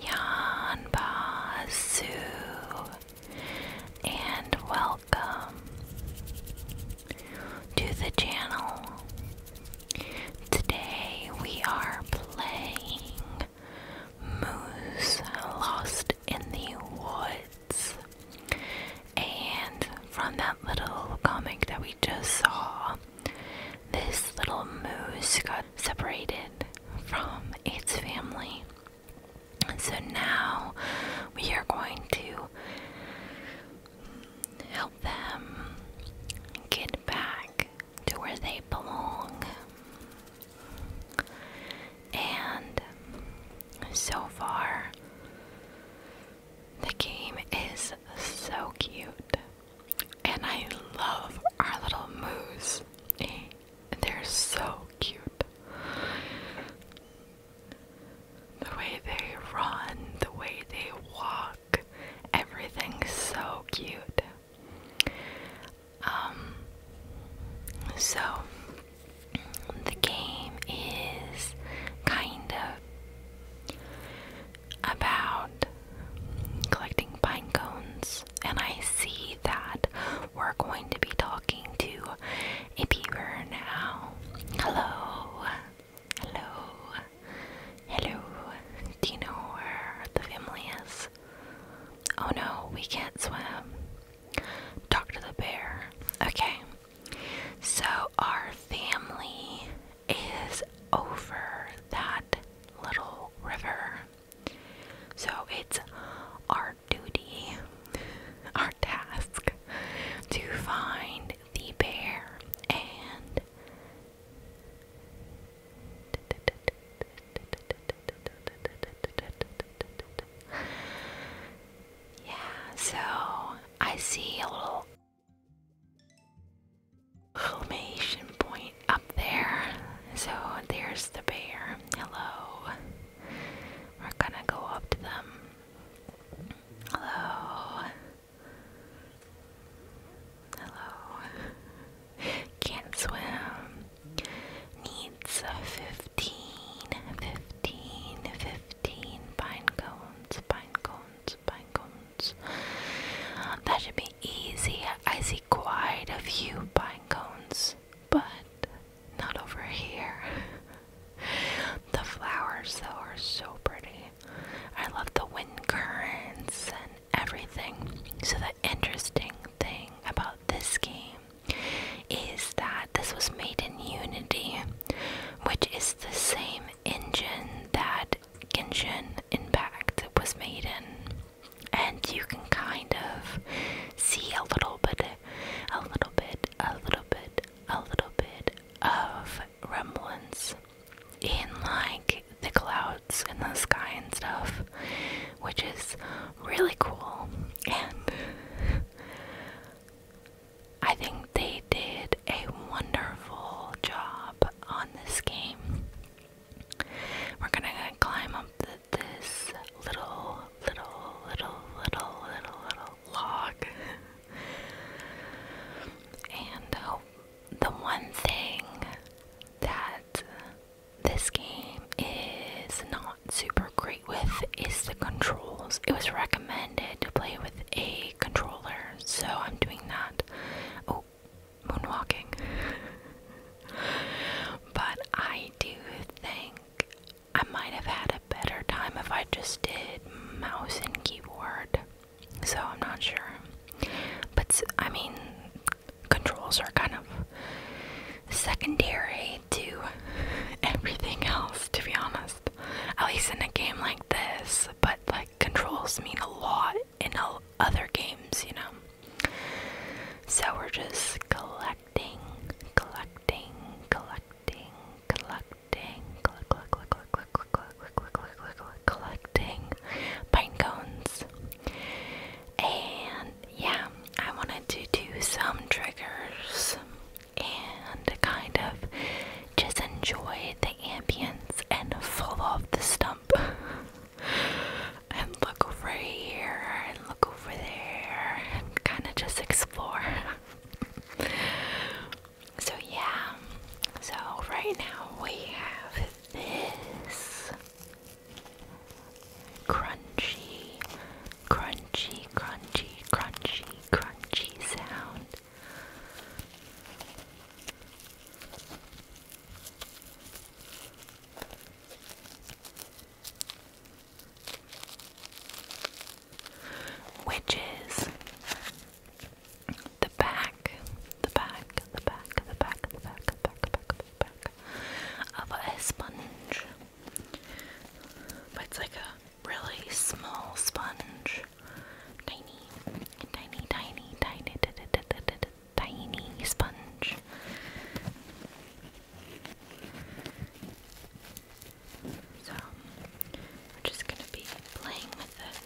Yanbasu and welcome to the channel. Today we are playing Moose Lost in the Woods. And from that little comic that we just saw, this little moose got separated from its family. And so now we are going to help them get back to where they belong. And so far, the game is so cute. And I love our little moose. Eh, they're so cute. The way they run, the way they walk, everything's so cute. Um, so the game is kind of about collecting pine cones, and I see that we're going to be talking to a beaver now. Hello, hello, hello. Do you know where the family is? Oh no, we can't swim. Talk to the bear. Okay, so our family is over that little river. So it's our duty, our task, to find the bear and. Yeah, so I see a little Homation point up there. So there's the bear. Hello. We're gonna go up to them. Hello. Hello. Can't swim. Needs a fifteen, fifteen, fifteen pine cones, pine cones pine That should be easy. I see quite a few pine cones, but not over here. the flowers, though, are so pretty. I love the wind currents and everything. So, the interesting thing about this game is that this was made in Unity, which is the same engine that Genshin Impact was made in, and you can kind of see a little bit, a little bit, a little bit, a little bit of Remlins in like the clouds in the sky and stuff, which is really cool. And I think they did a wonderful job on this game. We're gonna climb up this little, little, little, little, little, log. and oh, the one thing that this game is not super great with is the controls. It was recommended to play with a controller, so I'm doing that. Oh, moonwalking. but I do think I might have had a better time if I just did mouse and keyboard. So I'm not sure. But I mean, controls are kind of secondary to everything else, to be honest. At least in a game like this, but like controls mean a lot in other games, you know. So we're just collecting, collecting, collecting, collecting, collecting pine cones. And yeah, I wanted to do some triggers and kind of just enjoy the ambience and fall off the stump and look over here and look over there and kind of just explore. so, yeah, so right now we have this crunchy, crunchy, crunchy, crunchy, crunchy sound. Which is the back, the back, the back, the back, the back, the back, the back, of a sponge. But it's like a really small sponge tiny, tiny, tiny, tiny, tiny sponge. So we're just gonna be playing with it.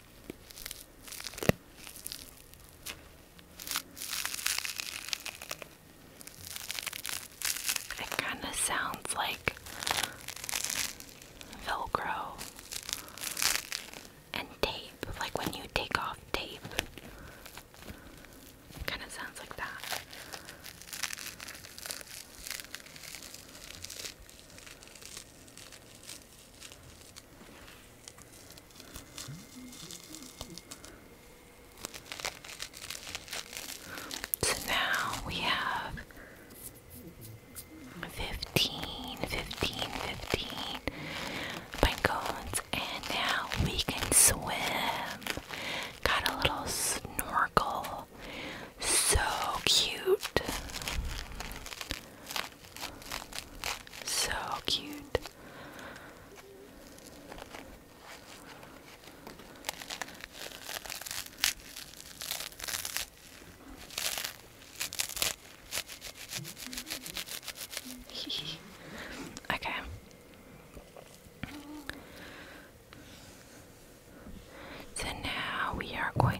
It kind of sounds like Velcro and tape, like when you take off tape. kind of sounds like that. So now we have 15, 15, 15 pine cones, and now we can swim. Got a little snorkel. So cute. So cute. okay. So now we are going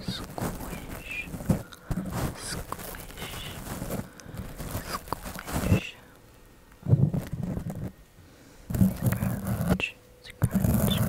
Squish, squish, squish. Scratch, scratch, scratch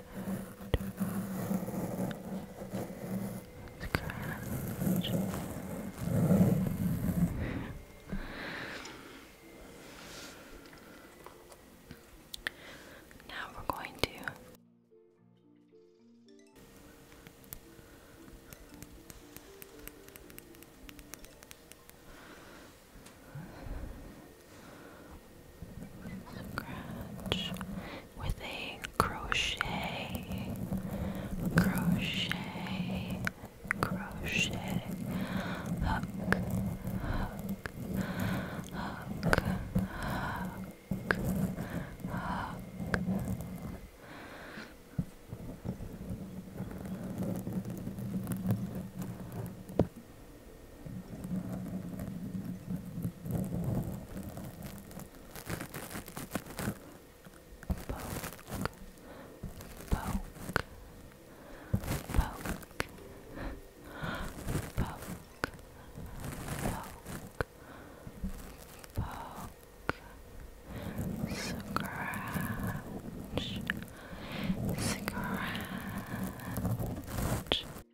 Scratch. Now we're going to scratch with a crochet, crochet, crochet, hook, hook, hook, hook. Hook, poke, scratch, scratch.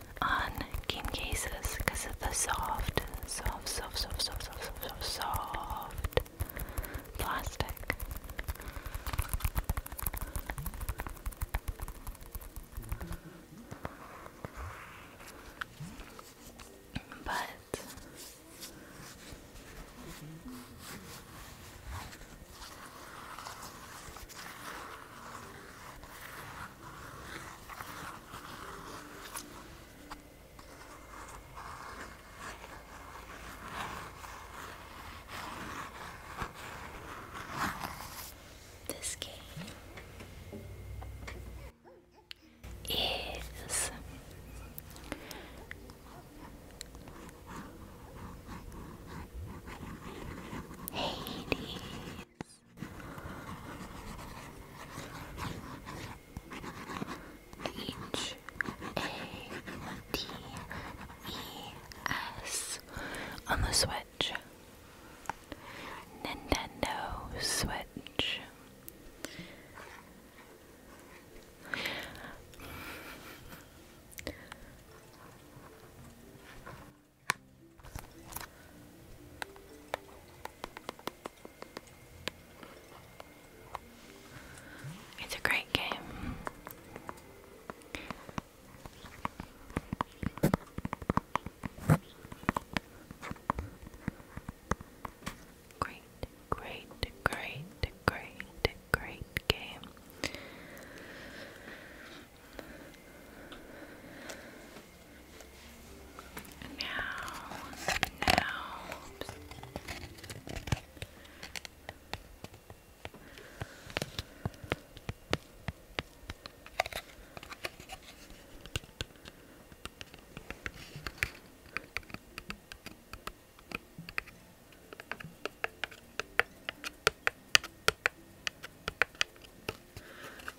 on game cases because of the soft, soft, soft, soft, soft, soft, soft, soft, soft plastic. But this game is Hades. H A D E S on the Switch. Nintendo Switch. It's a great game. Great, great, great, great, great game. Now, now, oops.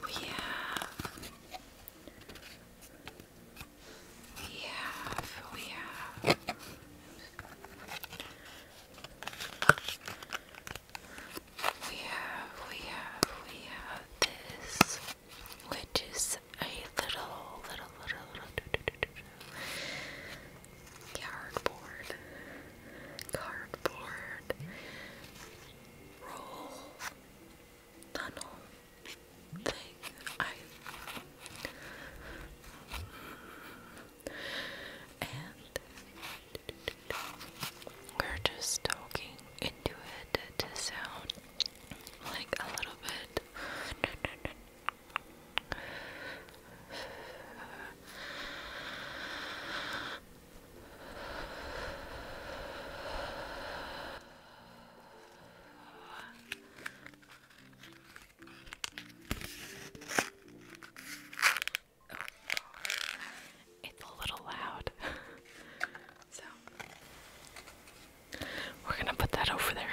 We have, we have, we have. We have, we have, we have this, which is a little, little, little, little cardboard, cardboard roll tunnel thing. I and we're just talking into it to sound like a little bit it's a little loud. so we're gonna put that over there.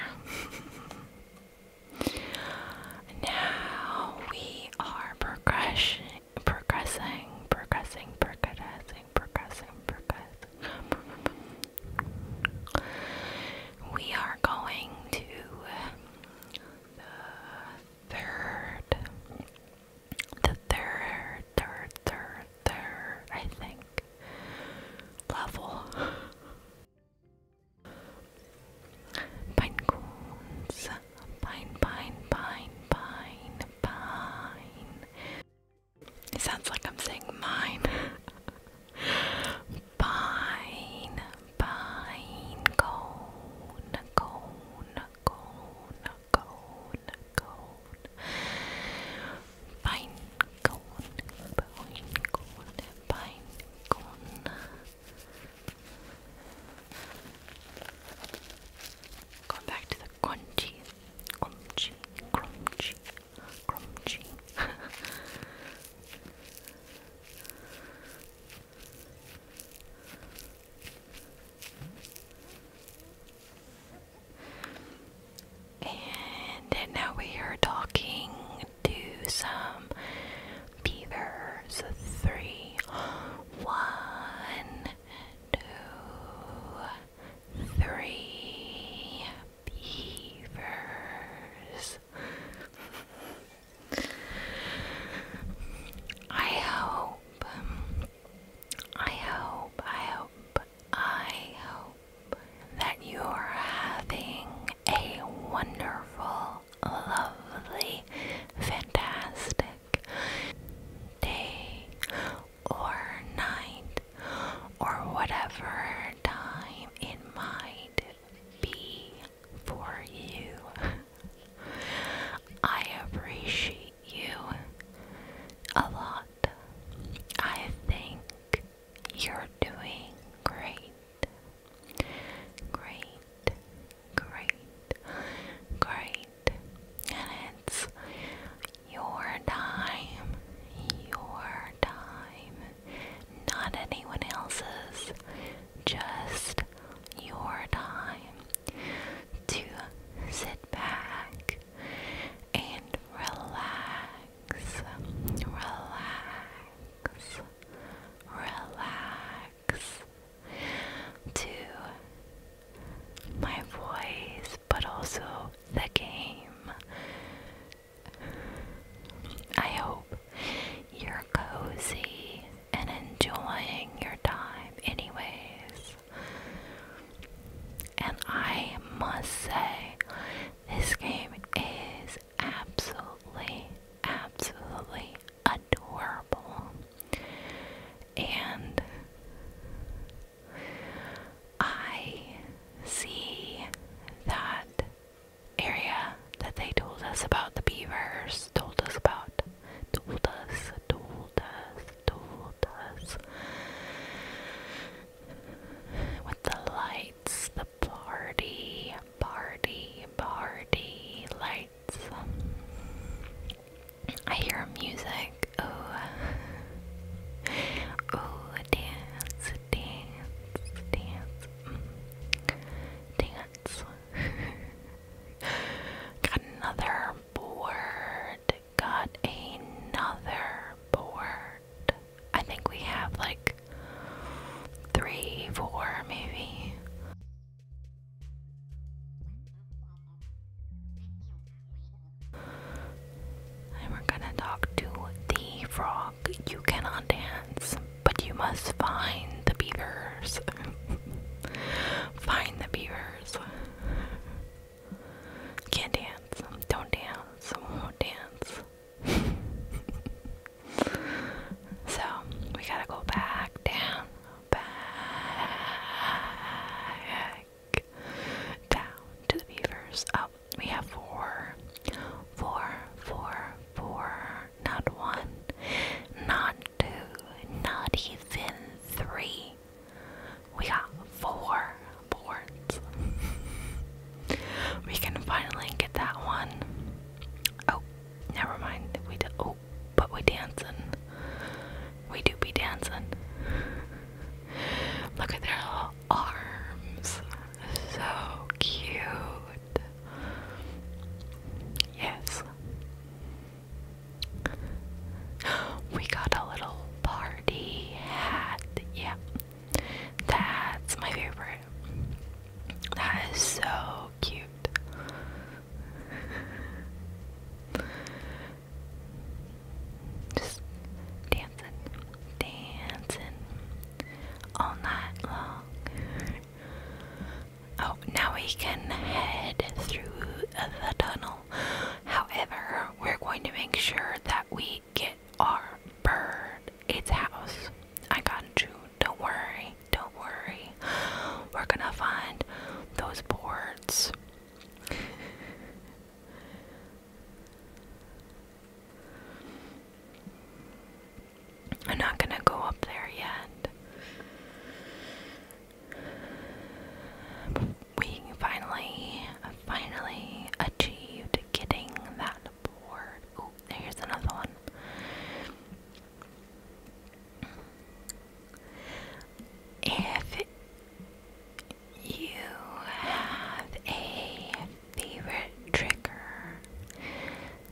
now we are progressing progressing, progressing, progressing, progressing, progressing. We are going to the third, the third, third, third, third, I think, level. Pine cones, pine, pine, pine, pine, pine. It sounds like I'm saying mine. pine, pine, cone, cone, cone, cone, cone. Pine, cone, pine, cone, pine, cone. Going back to the crunchy, crunchy, crunchy, crunchy. and now we are talking to some beavers. Three, one, two, three beavers. I hope, I hope, I hope, I hope that you're having a wonderful, lovely, fantastic day or night or whatever time it might be for you. I appreciate you a lot. I think you're doing great. Great, great, great and it's your time, your time, not anyone else's, just your time to sit back and relax, relax, relax to my voice, but also the game. I hope you're cozy and enjoying your time, anyways. And I must say, this game is absolutely, absolutely adorable and I see that area that they told us about the beavers, told us about, told us, told us, told us. With the lights, the party, party, party lights. I hear music. Oh, oh, dance, dance, dance, mm. dance. Got another board. Got another board. I think we have like three, four, maybe we're gonna talk to the frog. You cannot dance, but you must find the beavers. find the beavers. Can't dance. Don't dance. Won't dance. so we gotta go back down back down to the beavers. Oh, we have four, four, four, four. Not one, not two, not even three. We got four boards. we can finally get that one. Oh, never mind. We Oh, but we dancing. We do be dancing. Look at their little arms. So cute. Yes. We got a little party hat. Yeah. That's my favorite. That is so cute. Just dancing, dancing all night long. Oh, now we can head through the tunnel. However, we're going to make sure that we get our bird its house. I got you. Don't worry. Don't worry. We're gonna find those boards I'm not going to go up there yet. we finally, finally achieved getting that board. Oh, here's another one. If you have a favorite trigger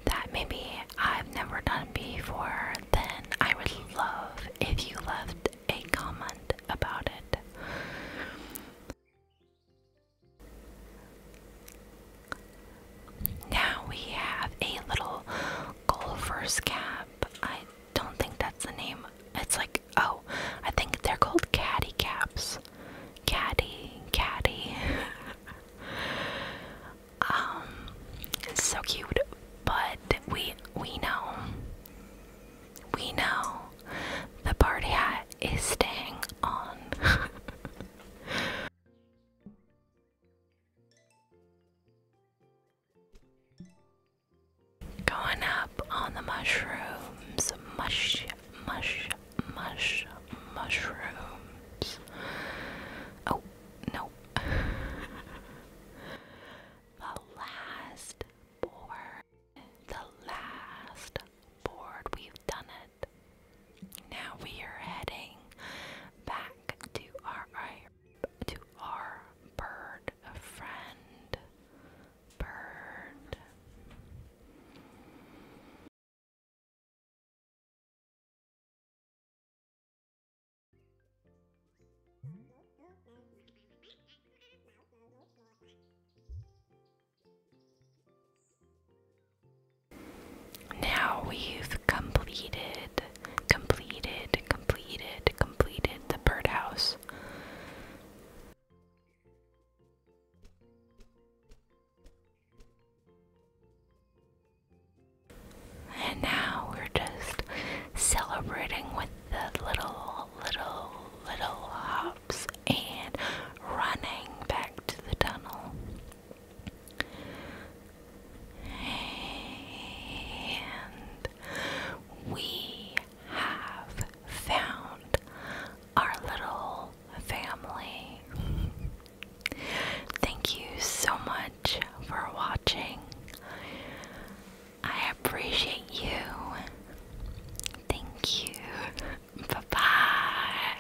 that maybe I've never done before, then I would love if you left a comment about it. Now we have a little golfer's cap. I don't think that's the name. It's like, oh, I think they're called caddy caps. Caddy, caddy. um, so cute, but we we know, we know, the party hat is staying on. Going up on the mushrooms, mush, mush, mush, mushrooms. Oh, no. the last board, the last board, we've done it. Now we are heading back to our to our bird a friend bird now we've completed completed, completed, completed the birdhouse. And now we're just celebrating with the little, little, little hops and running back to the tunnel. And we have found our little family. Thank you so much for watching. I appreciate you. Thank you. Bye bye.